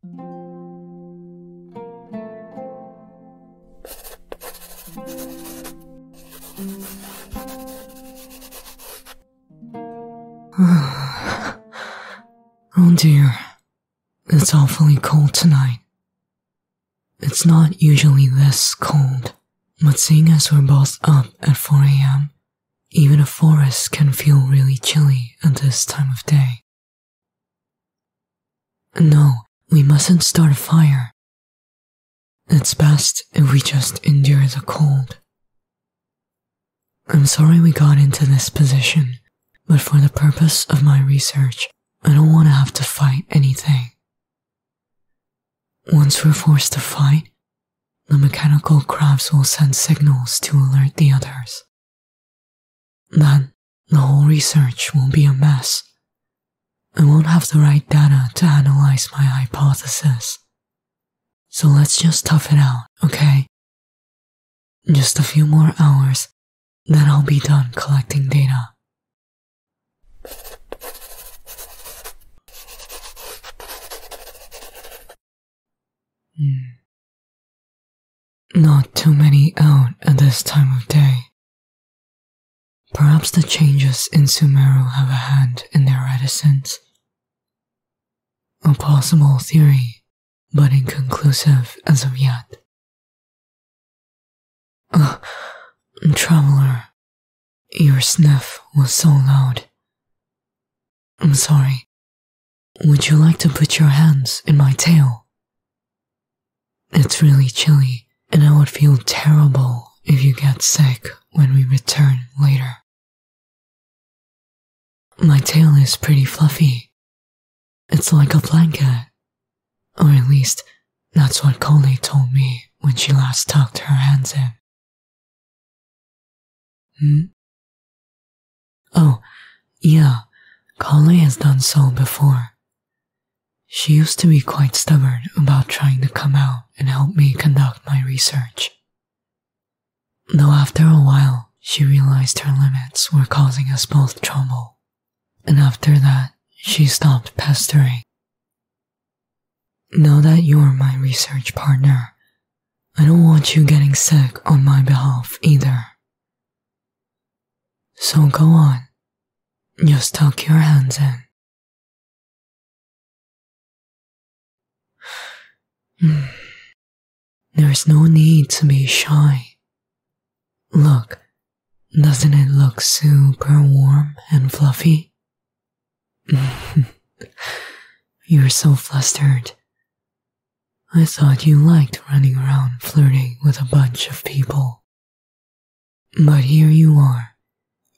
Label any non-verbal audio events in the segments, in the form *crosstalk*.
*sighs* oh dear, it's awfully cold tonight. It's not usually this cold, but seeing as we're both up at 4 am, even a forest can feel really chilly at this time of day. No, we mustn't start a fire. It's best if we just endure the cold. I'm sorry we got into this position, but for the purpose of my research, I don't want to have to fight anything. Once we're forced to fight, the mechanical crabs will send signals to alert the others. Then the whole research will be a mess. I won't have the right data to analyze my hypothesis. So let's just tough it out, okay? Just a few more hours, then I'll be done collecting data. Hmm. Not too many out at this time of day. Perhaps the changes in Sumeru have a hand in their reticence. A possible theory, but inconclusive as of yet. Uh, traveler, your sniff was so loud. I'm sorry. Would you like to put your hands in my tail? It's really chilly, and I would feel terrible if you get sick when we return later. My tail is pretty fluffy. It's like a blanket. Or at least, that's what Coley told me when she last tucked her hands in. Hmm? Oh, yeah, Carly has done so before. She used to be quite stubborn about trying to come out and help me conduct my research. Though after a while, she realized her limits were causing us both trouble, and after that, she stopped pestering. Now that you're my research partner, I don't want you getting sick on my behalf either. So go on, just tuck your hands in. *sighs* There's no need to be shy. Look, doesn't it look super warm and fluffy? *laughs* You're so flustered. I thought you liked running around flirting with a bunch of people. But here you are,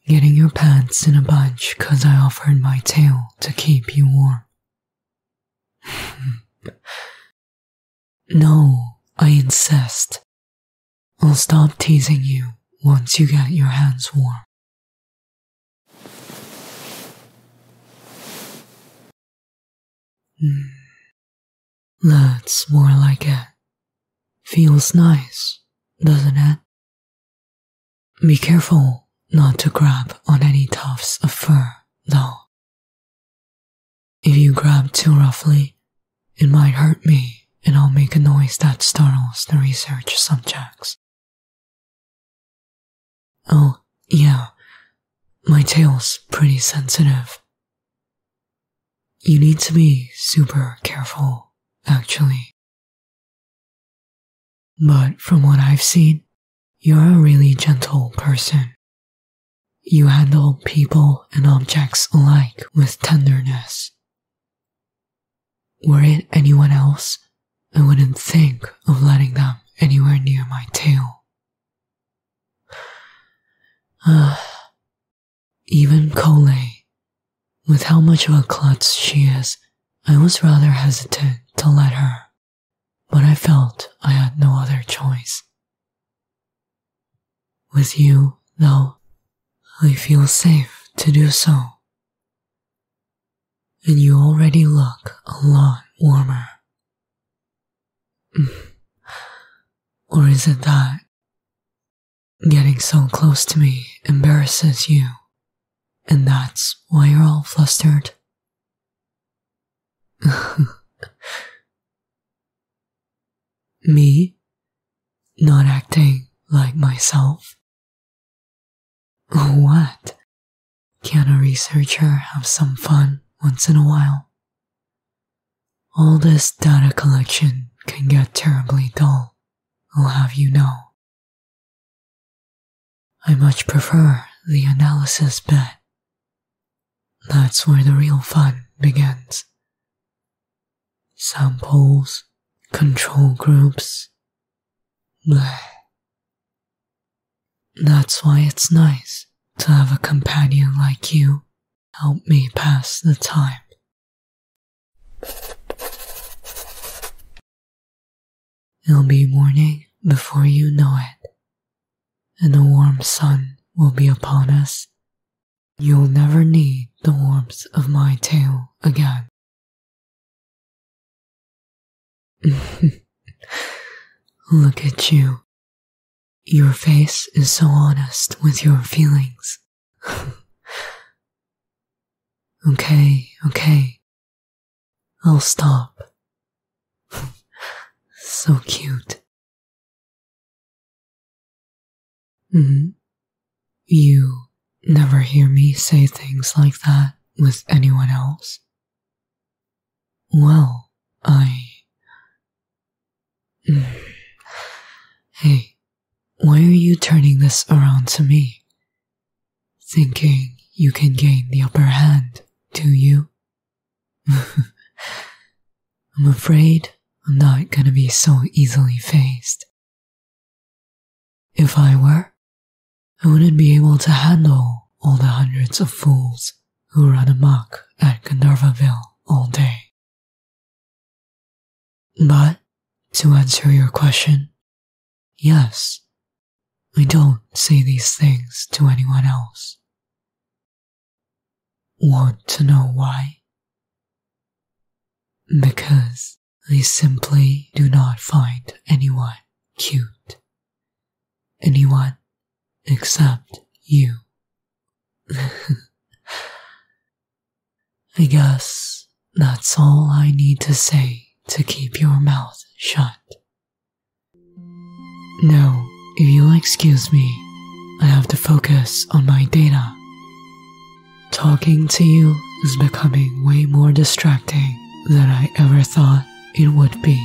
getting your pants in a bunch because I offered my tail to keep you warm. *laughs* no, I insist. I'll stop teasing you once you get your hands warm. Hmm. That's more like it. Feels nice, doesn't it? Be careful not to grab on any tufts of fur, though. If you grab too roughly, it might hurt me and I'll make a noise that startles the research subjects. Oh, yeah, my tail's pretty sensitive. You need to be super careful, actually. But from what I've seen, you're a really gentle person. You handle people and objects alike with tenderness. Were it anyone else, I wouldn't think of letting them anywhere near my tail. *sighs* Even Coley, with how much of a klutz she is, I was rather hesitant to let her, but I felt I had no other choice. With you, though, I feel safe to do so. And you already look a lot warmer. *sighs* or is it that getting so close to me embarrasses you, and that's why you're all flustered? *laughs* me? Not acting like myself? What? Can a researcher have some fun once in a while? All this data collection can get terribly dull, I'll have you know. I much prefer the analysis bit. That's where the real fun begins. Samples, control groups. Blech. That's why it's nice to have a companion like you help me pass the time. It'll be morning before you know it, and the warm sun will be upon us. You'll never need the warmth of my tail again. *laughs* Look at you. Your face is so honest with your feelings. *laughs* okay, okay. I'll stop. *laughs* so cute. -hmm. You never hear me say things like that with anyone else. Well, I. Hmm. hey, why are you turning this around to me? Thinking you can gain the upper hand, do you? *laughs* I'm afraid I'm not gonna be so easily faced. If I were, I wouldn't be able to handle all the hundreds of fools who run amok at Gandharvaville all day. But to answer your question, yes, I don't say these things to anyone else. Want to know why? Because I simply do not find anyone cute. Anyone except you. *laughs* I guess that's all I need to say to keep your mouth shut. No, if you'll excuse me, I have to focus on my data. Talking to you is becoming way more distracting than I ever thought it would be.